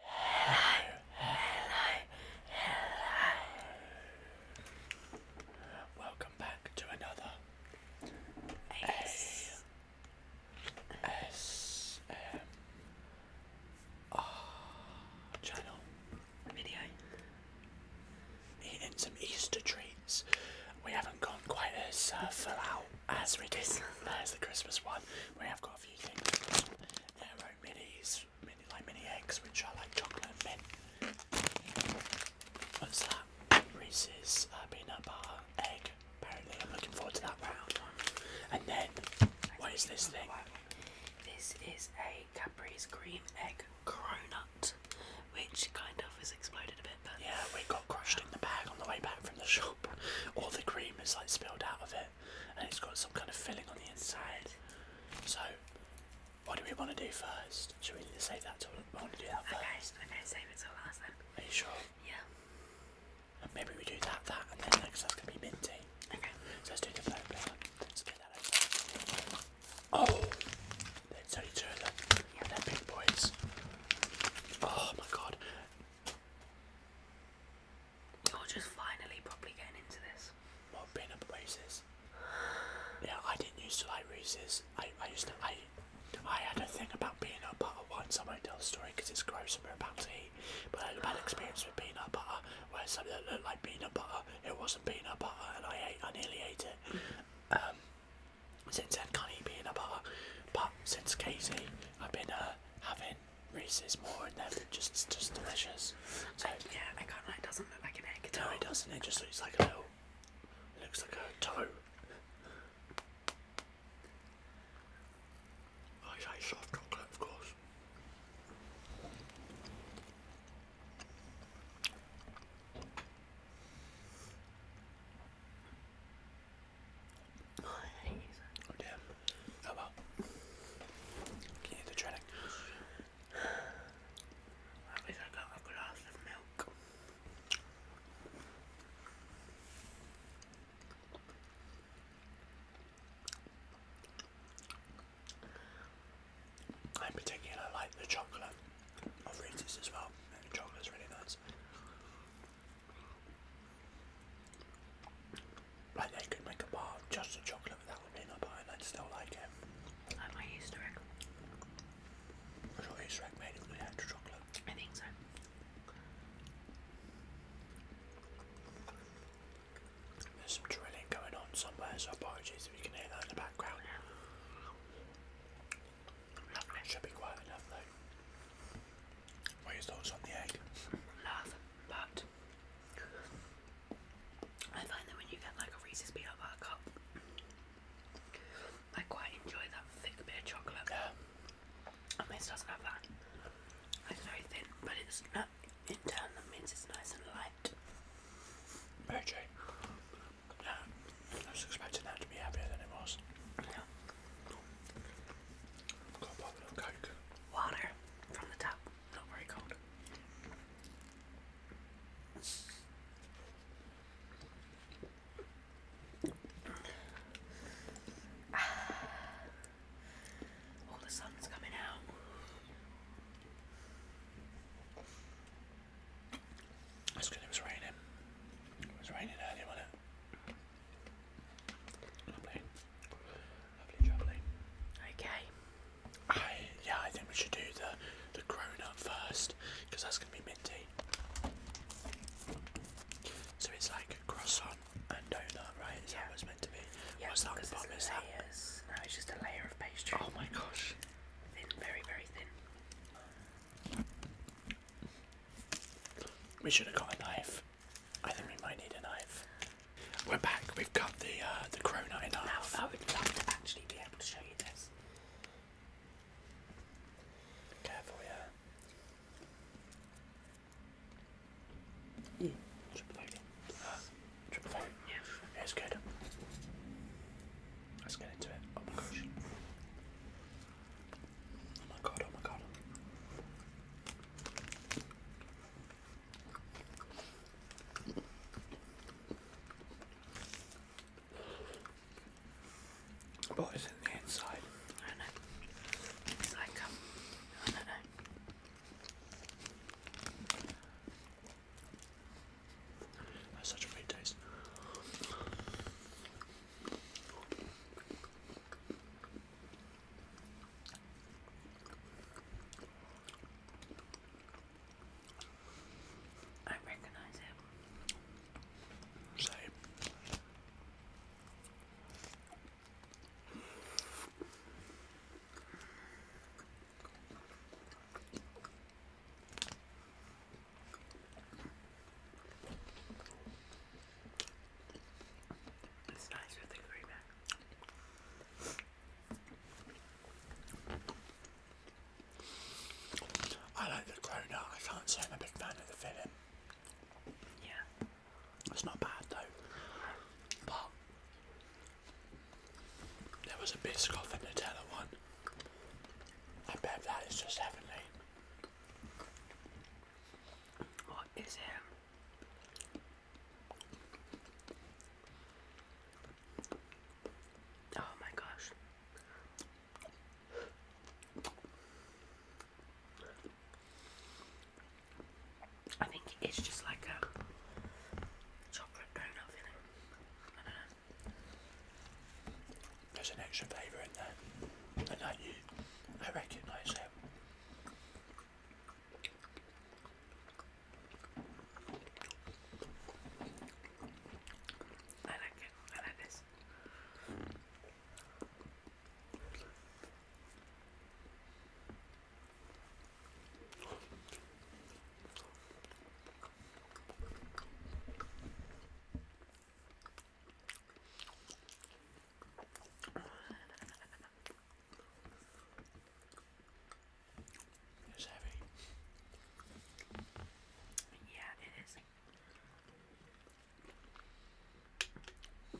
Hello, hello, hello. Welcome back to another ASMR channel video. Eating some Easter treats. We haven't gone quite as uh, full out as we did as the Christmas one. We have got a few things there minis, mini like mini eggs, which are like chocolate and mint. What's that? Reese's uh, peanut butter egg. Apparently, I'm looking forward to that round. And then, what is this thing? This is a Cadbury's cream egg cronut, which kind of was exploded a bit. But yeah, we got crushed in the bag on the way back from the shop. All the cream is like spilled out of it it and it's got some kind of filling on the inside. So, what do we want to do first? Should we save that till we want to do that okay, first? Okay, save it till last then. Are you sure? Yeah. And maybe we do that, that, and then next that's gonna be minty. Okay. So let's do the float paper. Let's get that over. Oh! There's only two of them. Yeah. They're big boys. Oh my god. Or just finally probably getting into this. Well, peanut up at Yeah, I didn't used to like races. I, I used to, I, I had a thing about peanut butter once. I won't tell the story because it's gross and we're about to eat. But I had a bad experience with peanut butter where something that looked like peanut butter, it wasn't peanut butter, and I ate, I nearly ate it. Um, since then, can't eat peanut butter. But since Casey, I've been uh, having Rice is more, than just just delicious. So yeah, I kind of like doesn't look like an egg it doesn't. It just looks like a little, looks like a toe. I say soft chocolate, of course. Oh, I hate damn. Oh Can you the training? At least I got a glass of milk. I particularly like the chocolate of Reese's as well. And the chocolate's really nice. Like they could make a bar just of chocolate without the peanut butter and I'd still like it. Like my Easter egg. I thought Easter egg made it with extra chocolate. I think so. There's some drilling going on somewhere, apologies if can hear that in the background. Should be quiet enough though. What are your on the egg? Love, but I find that when you get like a Reese's peanut butter cup, I quite enjoy that thick bit of chocolate. And this doesn't have that. It's very thin, but it's not in turn that means it's nice and light. Mary Jane. I was expecting that to be heavier than it was. Water from the top, Not very cold. All the sun's coming out. That's good, it was raining. It was raining earlier, Okay. yeah, I think we should do the the grown-up first, because that's gonna be minty. So it's like croissant and donut, right? yeah. that meant to be? Yeah, what's that on the it's just a layer of pastry. Oh my gosh. Thin, very, very thin. We should have got a knife we are back. We've got the uh, the cronut in half. Now I would love to actually be able to show you this. Careful, yeah. Mm. Triple uh, loading. it's good. Let's get into it. Oh Oh my god, oh my god. But in the inside. I don't know. It's like, um, I don't know. That's such a great taste. I recognize it. Same. I like the cronut. I can't say I'm a big fan of the film. Yeah. It's not bad though. But there was a Biscoff and Nutella one. I bet that is just heavenly. What is it? Oh my gosh. I think it's just like a chocolate donut feeling. I there's an extra flavour in there, and I, I recognise it. I like it. I like this. It's heavy. Yeah, it is. Oh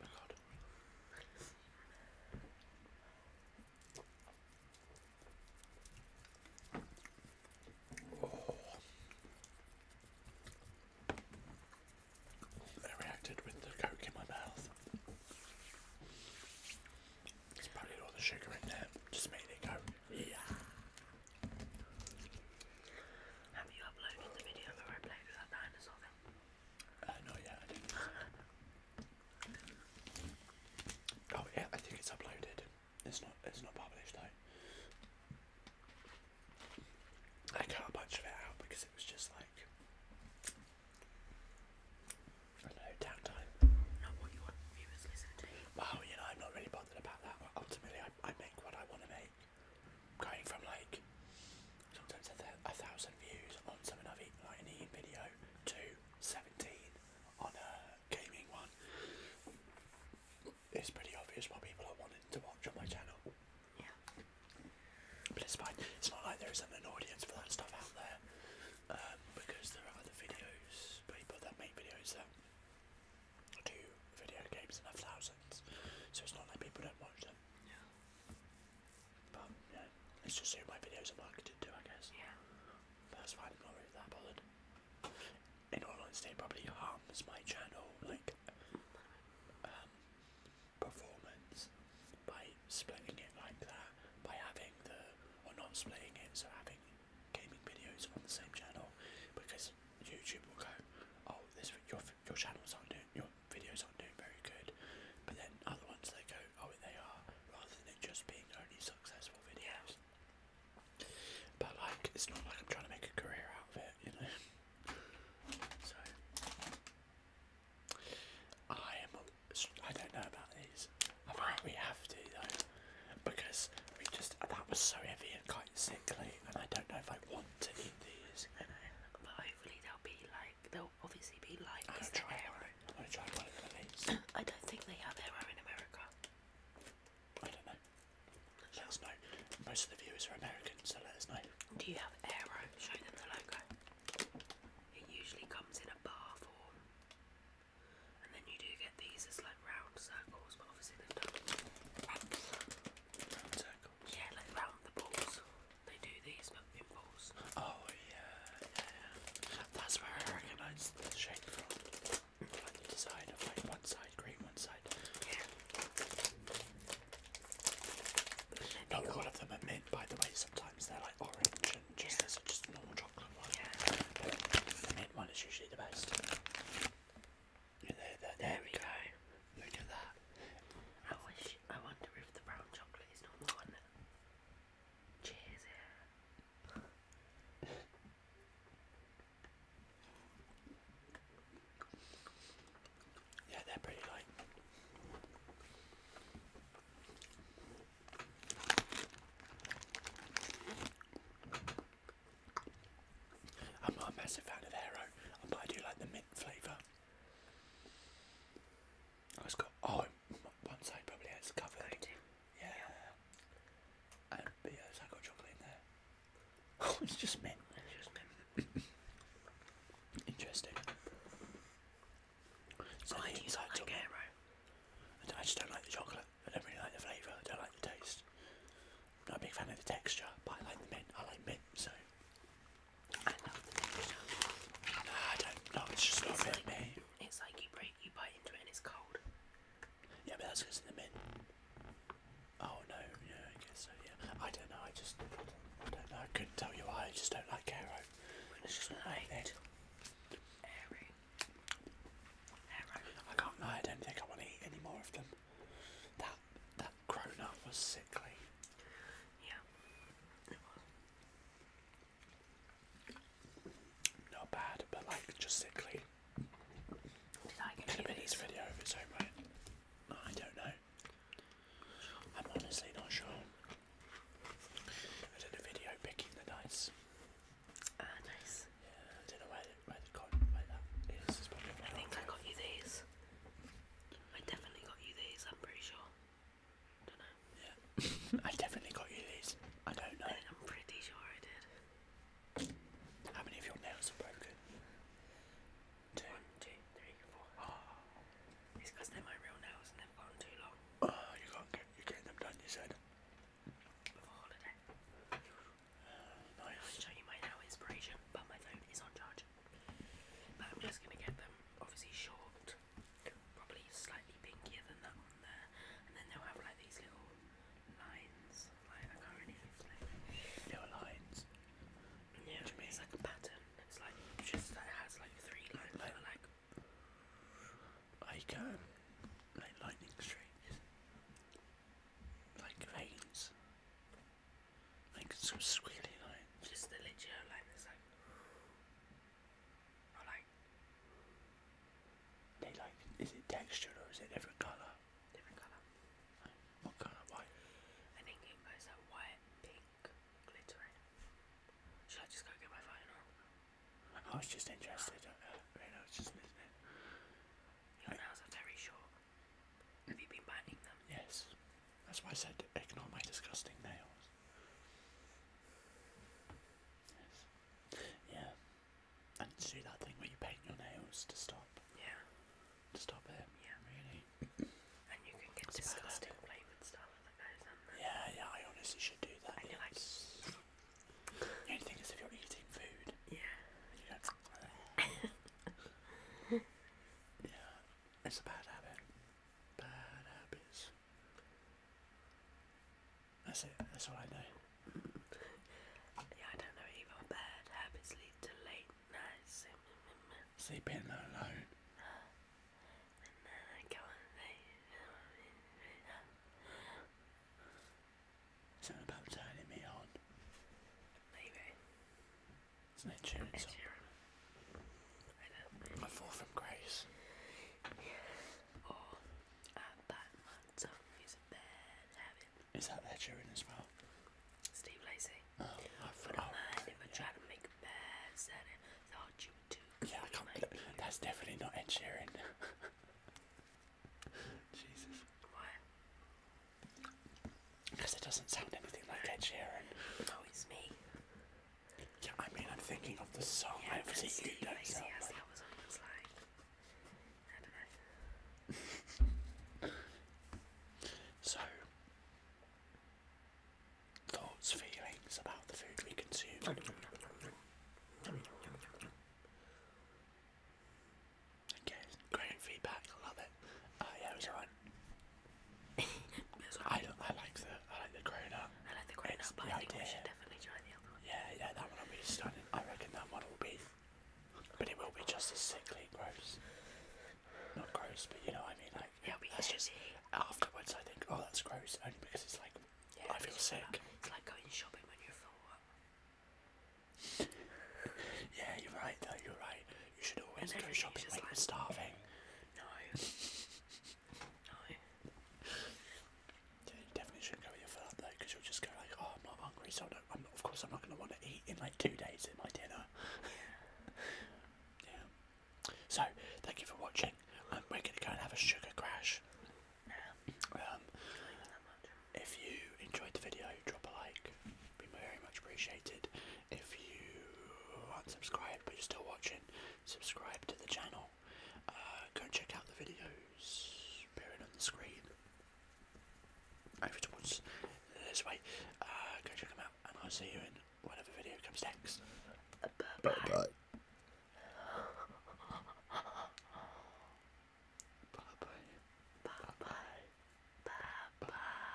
my god. Oh. I reacted with the coke in my mouth. It's probably all the sugar in there, just made it go. Yeah. Have you uploaded the video where I played with that dinosaur thing? Uh, not yet, I did oh yeah, I think it's uploaded. It's not. It's not published though. I cut a bunch of it out because it was just like I know downtime. Not what you want viewers listen Well, you know, I'm not really bothered about that. Ultimately, I, I make what I want to make. Going from like sometimes a, thousand views on something I've eaten like an eating video to seventeen on a gaming one. It's pretty obvious what people are wanting to watch on my channel. Yeah. But it's fine. It's not like there isn't an audience for that stuff out there. Um, because there are other videos, people that make videos that do video games in have thousands. So it's not like people don't watch them. Yeah. But yeah, it's just who my videos are marketed to, I guess. Yeah. that's why not really that bothered in all honesty, probably harms my channel, like, um, performance by splitting it like that, by having the, or not splitting it, so having gaming videos on the same channel, because YouTube will go, oh, this your your channels aren't doing, your videos aren't doing very good, but then other ones they go, oh, they are, rather than just being only successful videos. But like, it's not like I'm trying to make a career out of it, you know. So I am. I don't know about these. I think have to though, because we just that was so heavy and quite sickly, and I don't know if I want to eat these. But hopefully they'll be like they'll obviously be like. I'm gonna try one. I'm gonna try one of these. I don't think they have arrow in America. Let us know. Most of the viewers are American, so let us know. Do you have Aero? Show them the logo. It usually comes in a bar form. And then you do get these as like round circles, but obviously they've done round, circles. Yeah, like round the balls. They do these but in Oh yeah, yeah. That's where I recognise the shape from on side one side green, one side. Yeah. Not all of them are mint, by the way. Sometimes they're like orange and just there's just normal chocolate one. Yeah. the mint one is usually the best. there, we go. Look at that. I wish. I wonder if the brown chocolate is normal one. Cheers. Yeah yeah, they're pretty light. I'm not a massive fan of Aero, but I do like the mint flavour. Oh, it got, oh, one side probably has covered. Yeah. Um, yeah, I got chocolate in there. Oh, it's just mint. It's just mint. Interesting. I just don't like the chocolate. I don't really like the flavour. I don't like the taste. I'm not a big fan of the texture, but I like the mint. I like mint, so. I don't. No, it's just not really me. It's like you break, you bite into it, and it's cold. Yeah, but that's because in the mint. Oh no, yeah, I guess so. Yeah, I don't know. I just, don't, I don't know. I couldn't tell you why. I just don't like Aero. It's just not like it. Aero. I can't lie. I don't think I want to eat any more of them. That that grown up was sickly. Yeah, not bad, but like just sickly. Did I get Could have video of its own I don't know. I'm honestly not sure. I did a video picking the dice. Ah, Yeah, I don't know where, where they've where that is. I think I got you these. I definitely got you these, I'm pretty sure. Yeah. I definitely got you these. I don't know. I'm pretty sure I did. How many of your nails are broken? Two. One, two, three, four. Oh. It's because they're my real nails and they've gone too long. Oh, you can't get you getting them done, you said. For holiday. Ah, I'll show you my nail inspiration, but my phone is on charge. But I'm just gonna get them obviously short probably slightly pinkier than that one there, and then they'll have like these little lines. Like I can't really explain. Little lines. Yeah, it's like a pattern. It's like just it has like three lines like, like like um, like lightning streaks, like veins, like some squiggly lines. Just the literal line like like. They like. Is it textured or is it different colour? Different colour. What colour? White. I think it goes like white, pink, glittering. Should I just go get my phone or? I was just interested. Uh, I mean, I was just Your nails are very short. Have you been biting them? Yes. That's why I said ignore my disgusting nails. Yes. Yeah. And to do that thing where you paint your nails to stop. Yeah. To stop it. Yeah. Really. And you can get That's disgusting flavoured stuff like that, Yeah, yeah, I honestly should do that. And you're like The thing is if you're eating food. Yeah. You yeah. It's a bad habit. Bad habits. That's it, that's all I know. yeah, I don't know either. Bad habits lead to late nights. Sleeping mm, mm, mm. alone. And then about turning me on. Maybe. It's an insurance. I fall from grace. Yeah. Uh, is that Ed Sheeran as well? Steve Lacy. Oh, I But thought you too. Yeah, I can't. Like that's definitely not Ed Sheeran. Jesus. Why? Because it doesn't sound anything like Ed Sheeran. No, it's me. Yeah, I mean, I'm thinking of the song. Yeah, I haven't seen you dance that. Yes, that was almost like. I don't know. so, thoughts, feelings about the food we consume? Okay, great feedback. I love it. Uh, yeah, it was alright. I, I like the I like the grown up. I like the grown it's up, but I think idea. we should definitely try the other one. Yeah, yeah, that one will be stunning. I reckon that one will be, but it will be just as sickly gross. Not gross, but you know what I mean. Like, yeah, that's just afterwards. I think, oh, that's gross, only because it's like yeah, I feel sick. Like, it's like going shopping when you're full. yeah, you're right. Though you're right. You should always go shopping when like, you're starving. No. Yeah, you definitely shouldn't go with your third though, because you'll just go like, oh, I'm not hungry, so I am not. of course I'm not going to want to eat in like two days at my dinner. yeah. So, thank you for watching. Um, we're going to go and have a sugar crash. No, um, if you enjoyed the video, drop a like. It'd be very much appreciated. If you aren't subscribed but you're still watching, subscribe to the channel. Uh, go and check out the videos appearing on the screen over towards this way. Uh, go check them out, and I'll see you in whatever video comes next. bye bye. bye, -bye. bye, -bye. bye, -bye. bye, -bye.